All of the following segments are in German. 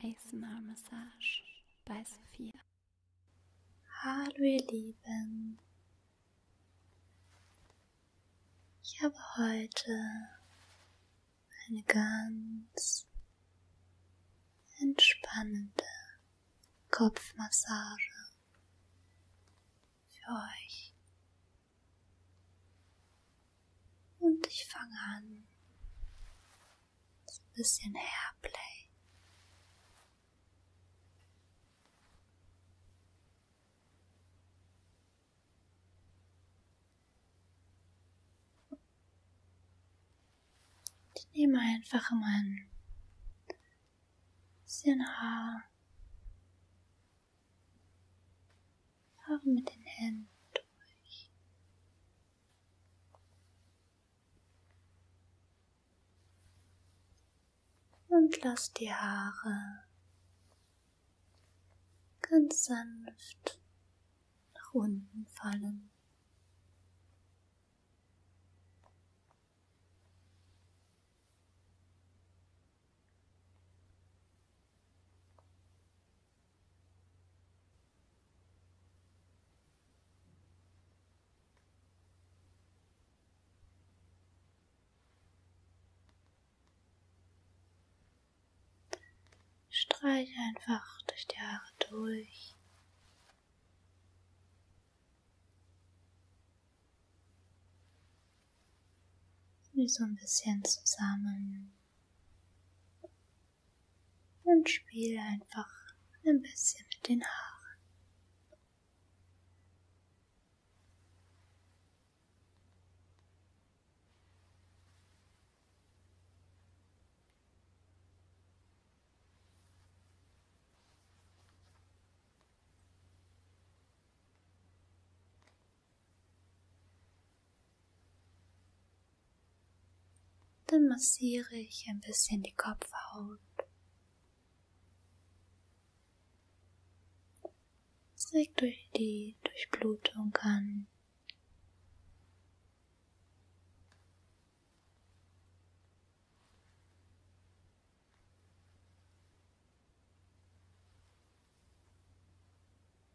ASMR Massage bei Sophia. Hallo ihr Lieben. Ich habe heute eine ganz entspannende Kopfmassage für euch. Und ich fange an ein bisschen Hairplay. Ich nehme einfach mein bisschen Haar. Haare mit den Händen durch. Und lass die Haare ganz sanft nach unten fallen. Streiche einfach durch die Haare durch. so ein bisschen zusammen und spiele einfach ein bisschen mit den Haaren. Dann massiere ich ein bisschen die Kopfhaut. Es regt durch die Durchblutung an.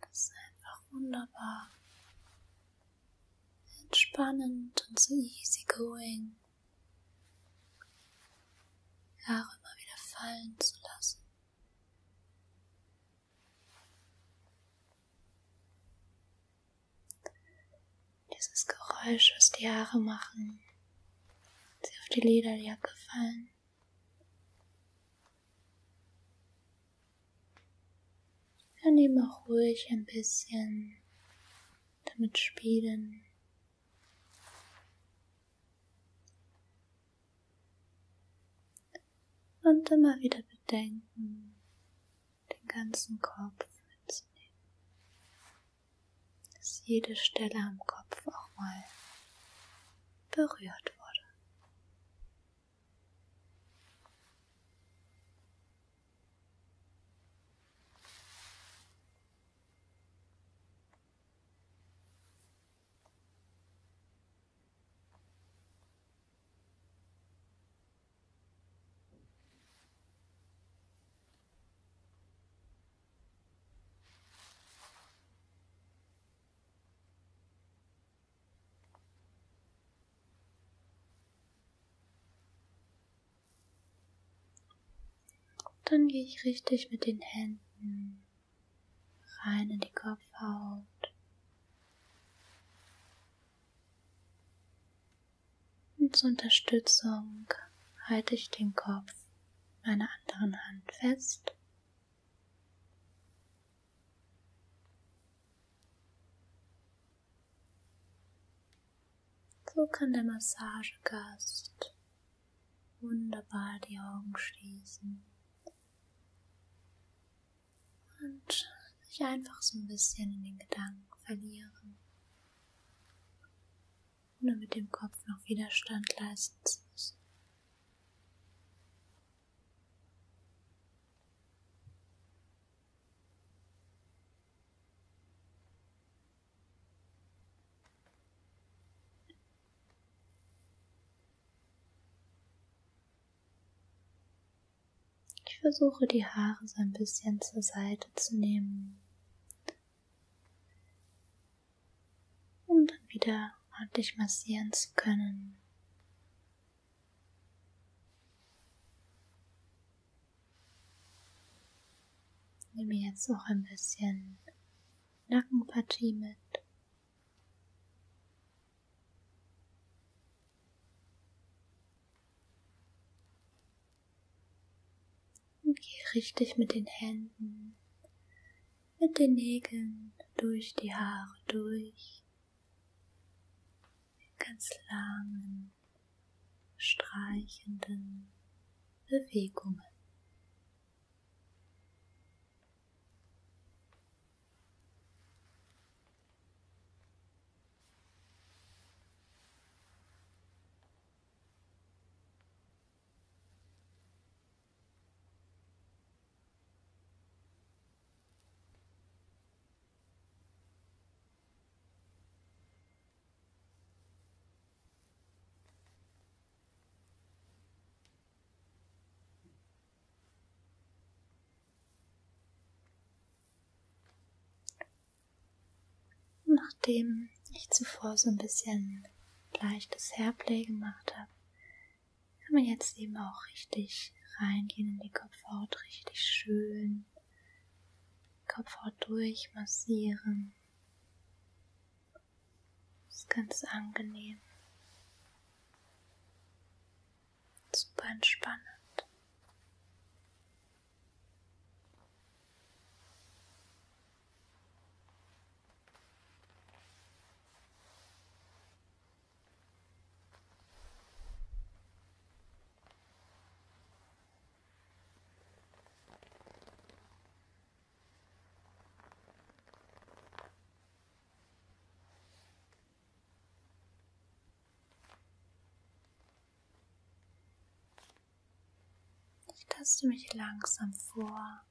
Das ist einfach wunderbar. Entspannend und so easygoing. Haare immer wieder fallen zu lassen. Dieses Geräusch, was die Haare machen, sie auf die Lederjacke fallen. Dann eben auch ruhig ein bisschen damit spielen. Und immer wieder bedenken, den ganzen Kopf mitzunehmen. Dass jede Stelle am Kopf auch mal berührt wurde. Dann gehe ich richtig mit den Händen rein in die Kopfhaut. Und zur Unterstützung halte ich den Kopf meiner anderen Hand fest so kann der Massagegast wunderbar die Augen schließen und sich einfach so ein bisschen in den Gedanken verlieren, ohne mit dem Kopf noch Widerstand leisten zu müssen. Ich versuche die Haare so ein bisschen zur Seite zu nehmen um dann wieder ordentlich massieren zu können. Ich nehme jetzt auch ein bisschen Nackenpartie mit. Und gehe richtig mit den Händen mit den Nägeln durch die Haare durch, in ganz langen, streichenden Bewegungen. Nachdem ich zuvor so ein bisschen leichtes Hairplay gemacht habe, kann man jetzt eben auch richtig reingehen in die Kopfhaut, richtig schön Kopfhaut durchmassieren. Ist ganz angenehm. Super entspannend. Ich taste mich langsam vor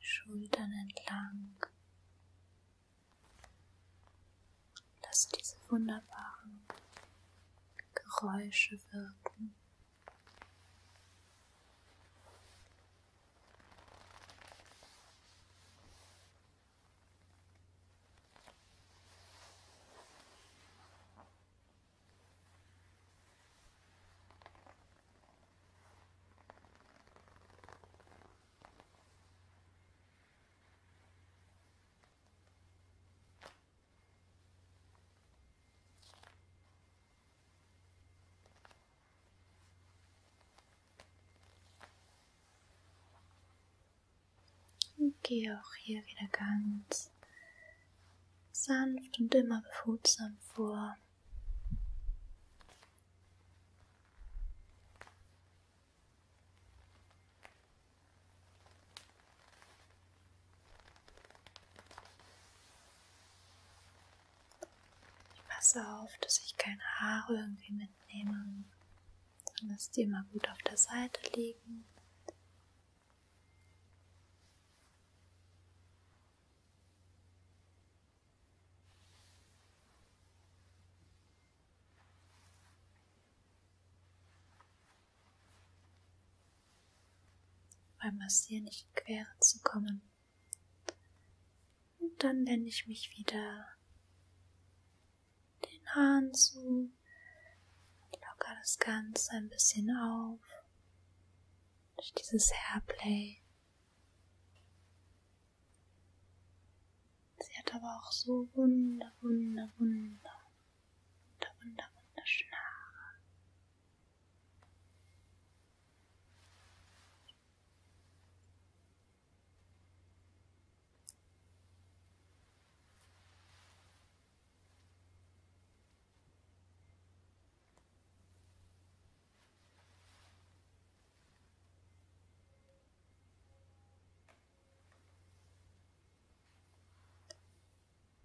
Schultern entlang. Lass diese wunderbaren Geräusche wirken. Und gehe auch hier wieder ganz sanft und immer behutsam vor. Ich passe auf, dass ich keine Haare irgendwie mitnehme, sondern dass die immer gut auf der Seite liegen beim Massieren nicht in Quere zu kommen. Und dann wende ich mich wieder den Haaren zu, locker das Ganze ein bisschen auf durch dieses Hairplay. Sie hat aber auch so wunder, wunder, wunder, wunder, wunder, wunderschöne Haare.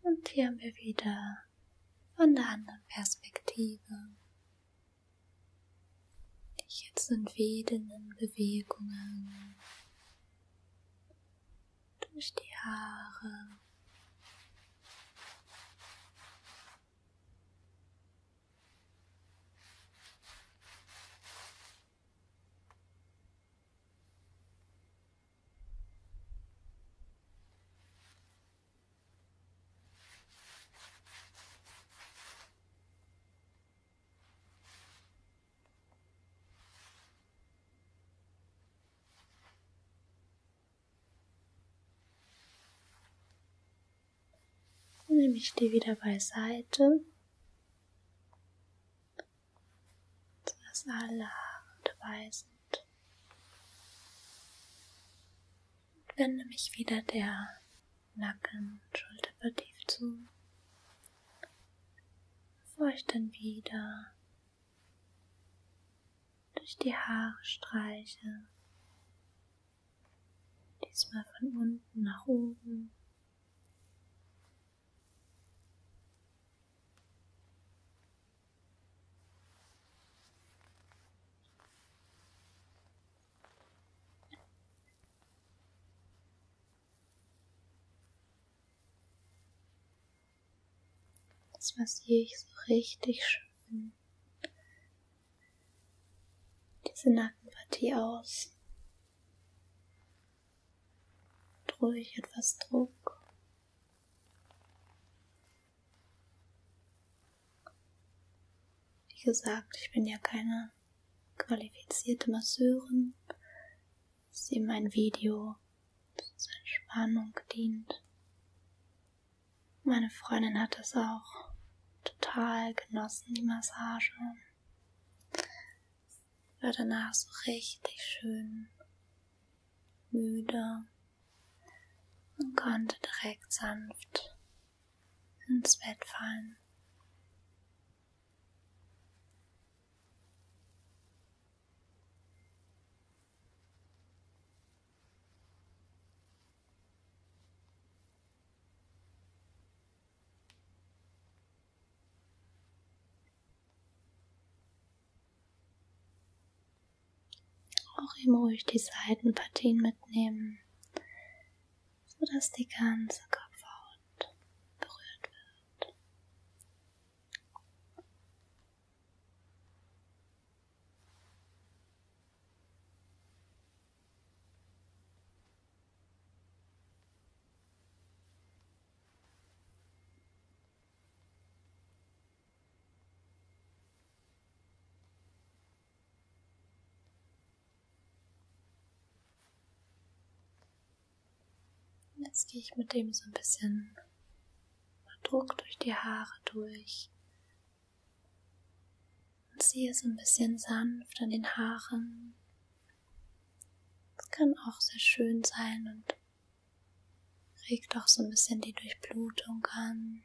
Und hier haben wir wieder von der anderen Perspektive. Ich jetzt in wehenden Bewegungen durch die Haare. Nehme ich die wieder beiseite, dass alle Haare dabei sind. Und wende mich wieder der Nacken- und Schulterpartie zu. Bevor ich dann wieder durch die Haare streiche. Diesmal von unten nach oben. Das massiere ich so richtig schön diese Nackenpartie aus. Und ruhig etwas Druck. Wie gesagt, ich bin ja keine qualifizierte Masseurin. Das ist eben ein Video, das zur Entspannung dient. Meine Freundin hat das auch total genossen, die Massage. War danach so richtig schön müde und konnte direkt sanft ins Bett fallen. Auch eben ruhig die Seitenpartien mitnehmen, sodass die ganze Kopfhaut berührt wird. Jetzt gehe ich mit dem so ein bisschen Druck durch die Haare durch. Und ziehe so ein bisschen sanft an den Haaren. Das kann auch sehr schön sein und regt auch so ein bisschen die Durchblutung an.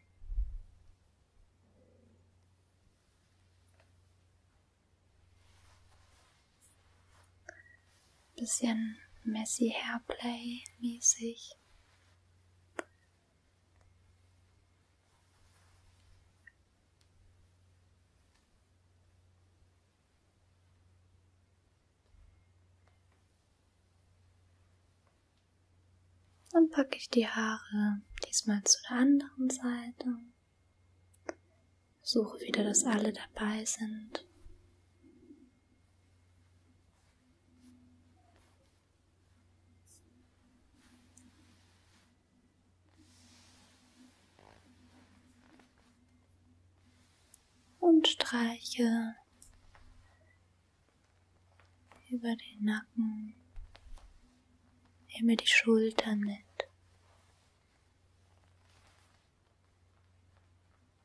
Bisschen messy Hairplay mäßig. Dann packe ich die Haare diesmal zu der anderen Seite. Suche wieder, dass alle dabei sind. Und streiche über den Nacken, nehme die Schultern mit.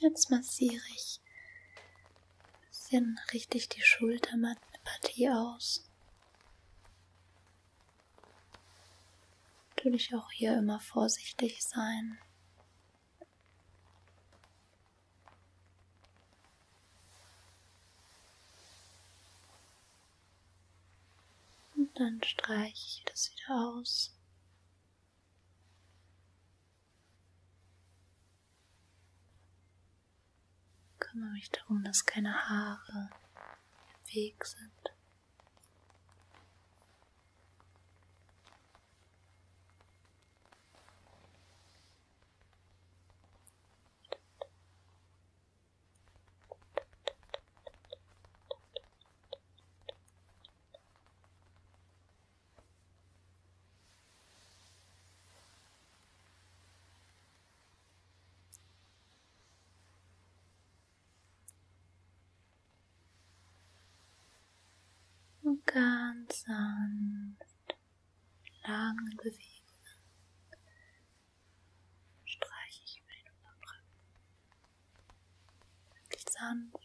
Jetzt massiere ich ein bisschen richtig die Schulterpartie aus. Natürlich auch hier immer vorsichtig sein. Und dann streiche ich das wieder aus. Kümmere mich darum, dass keine Haare im Weg sind. Und ganz sanft lange Bewegungen streiche ich über den Unterrücken. Wirklich sanft und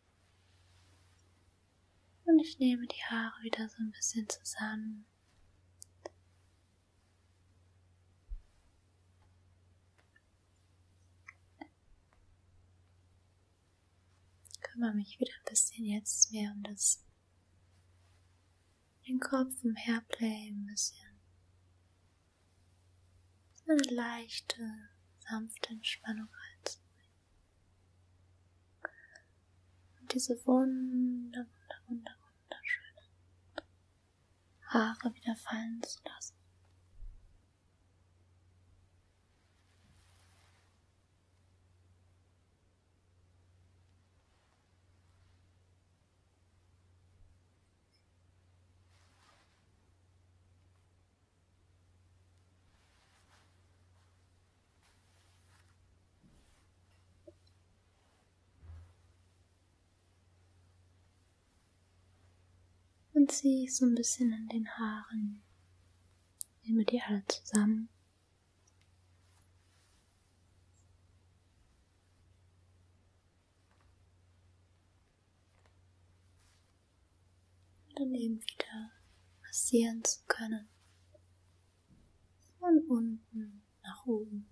Und ich nehme die Haare wieder so ein bisschen zusammen. kümmere mich wieder ein bisschen jetzt mehr um das den Kopf im Hairplay ein bisschen. Eine leichte, sanfte Entspannung reinzubringen. Halt. Und diese wunder, wunder, wunder, wunderschönen Haare wieder fallen zu lassen. Und zieh so ein bisschen an den Haaren. Nehme die alle zusammen dann eben wieder massieren zu können. Von unten nach oben.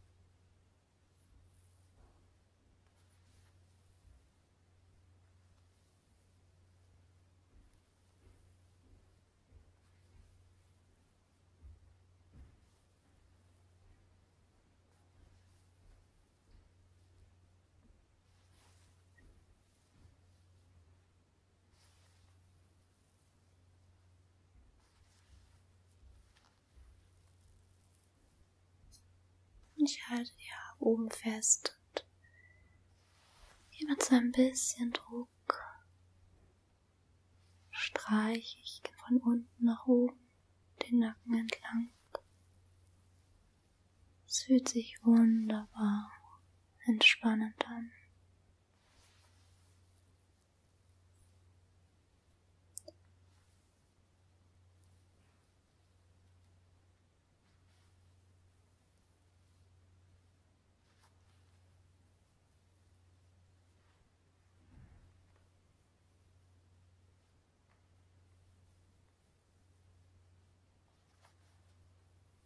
Und ich halte die Haare oben fest und hier mit so ein bisschen Druck streiche ich von unten nach oben den Nacken entlang. Es fühlt sich wunderbar entspannend an.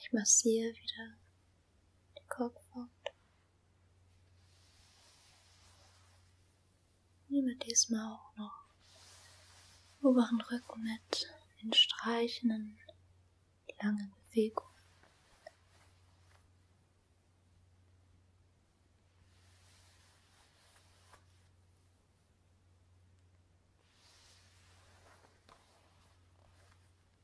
Ich massiere wieder den Kopfhaut. Nehme diesmal auch noch oberen Rücken mit den streichenden langen Bewegungen.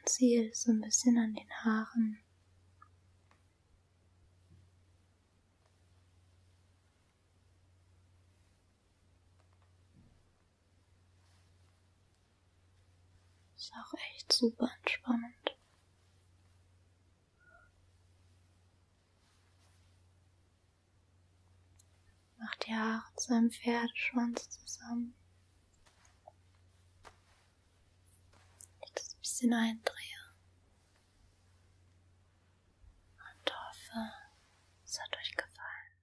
Und ziehe es so ein bisschen an den Haaren. Ist auch echt super entspannend. Mach die Haare zu einem Pferdeschwanz zusammen. Ich das ein bisschen eindrehe. Und hoffe, es hat euch gefallen.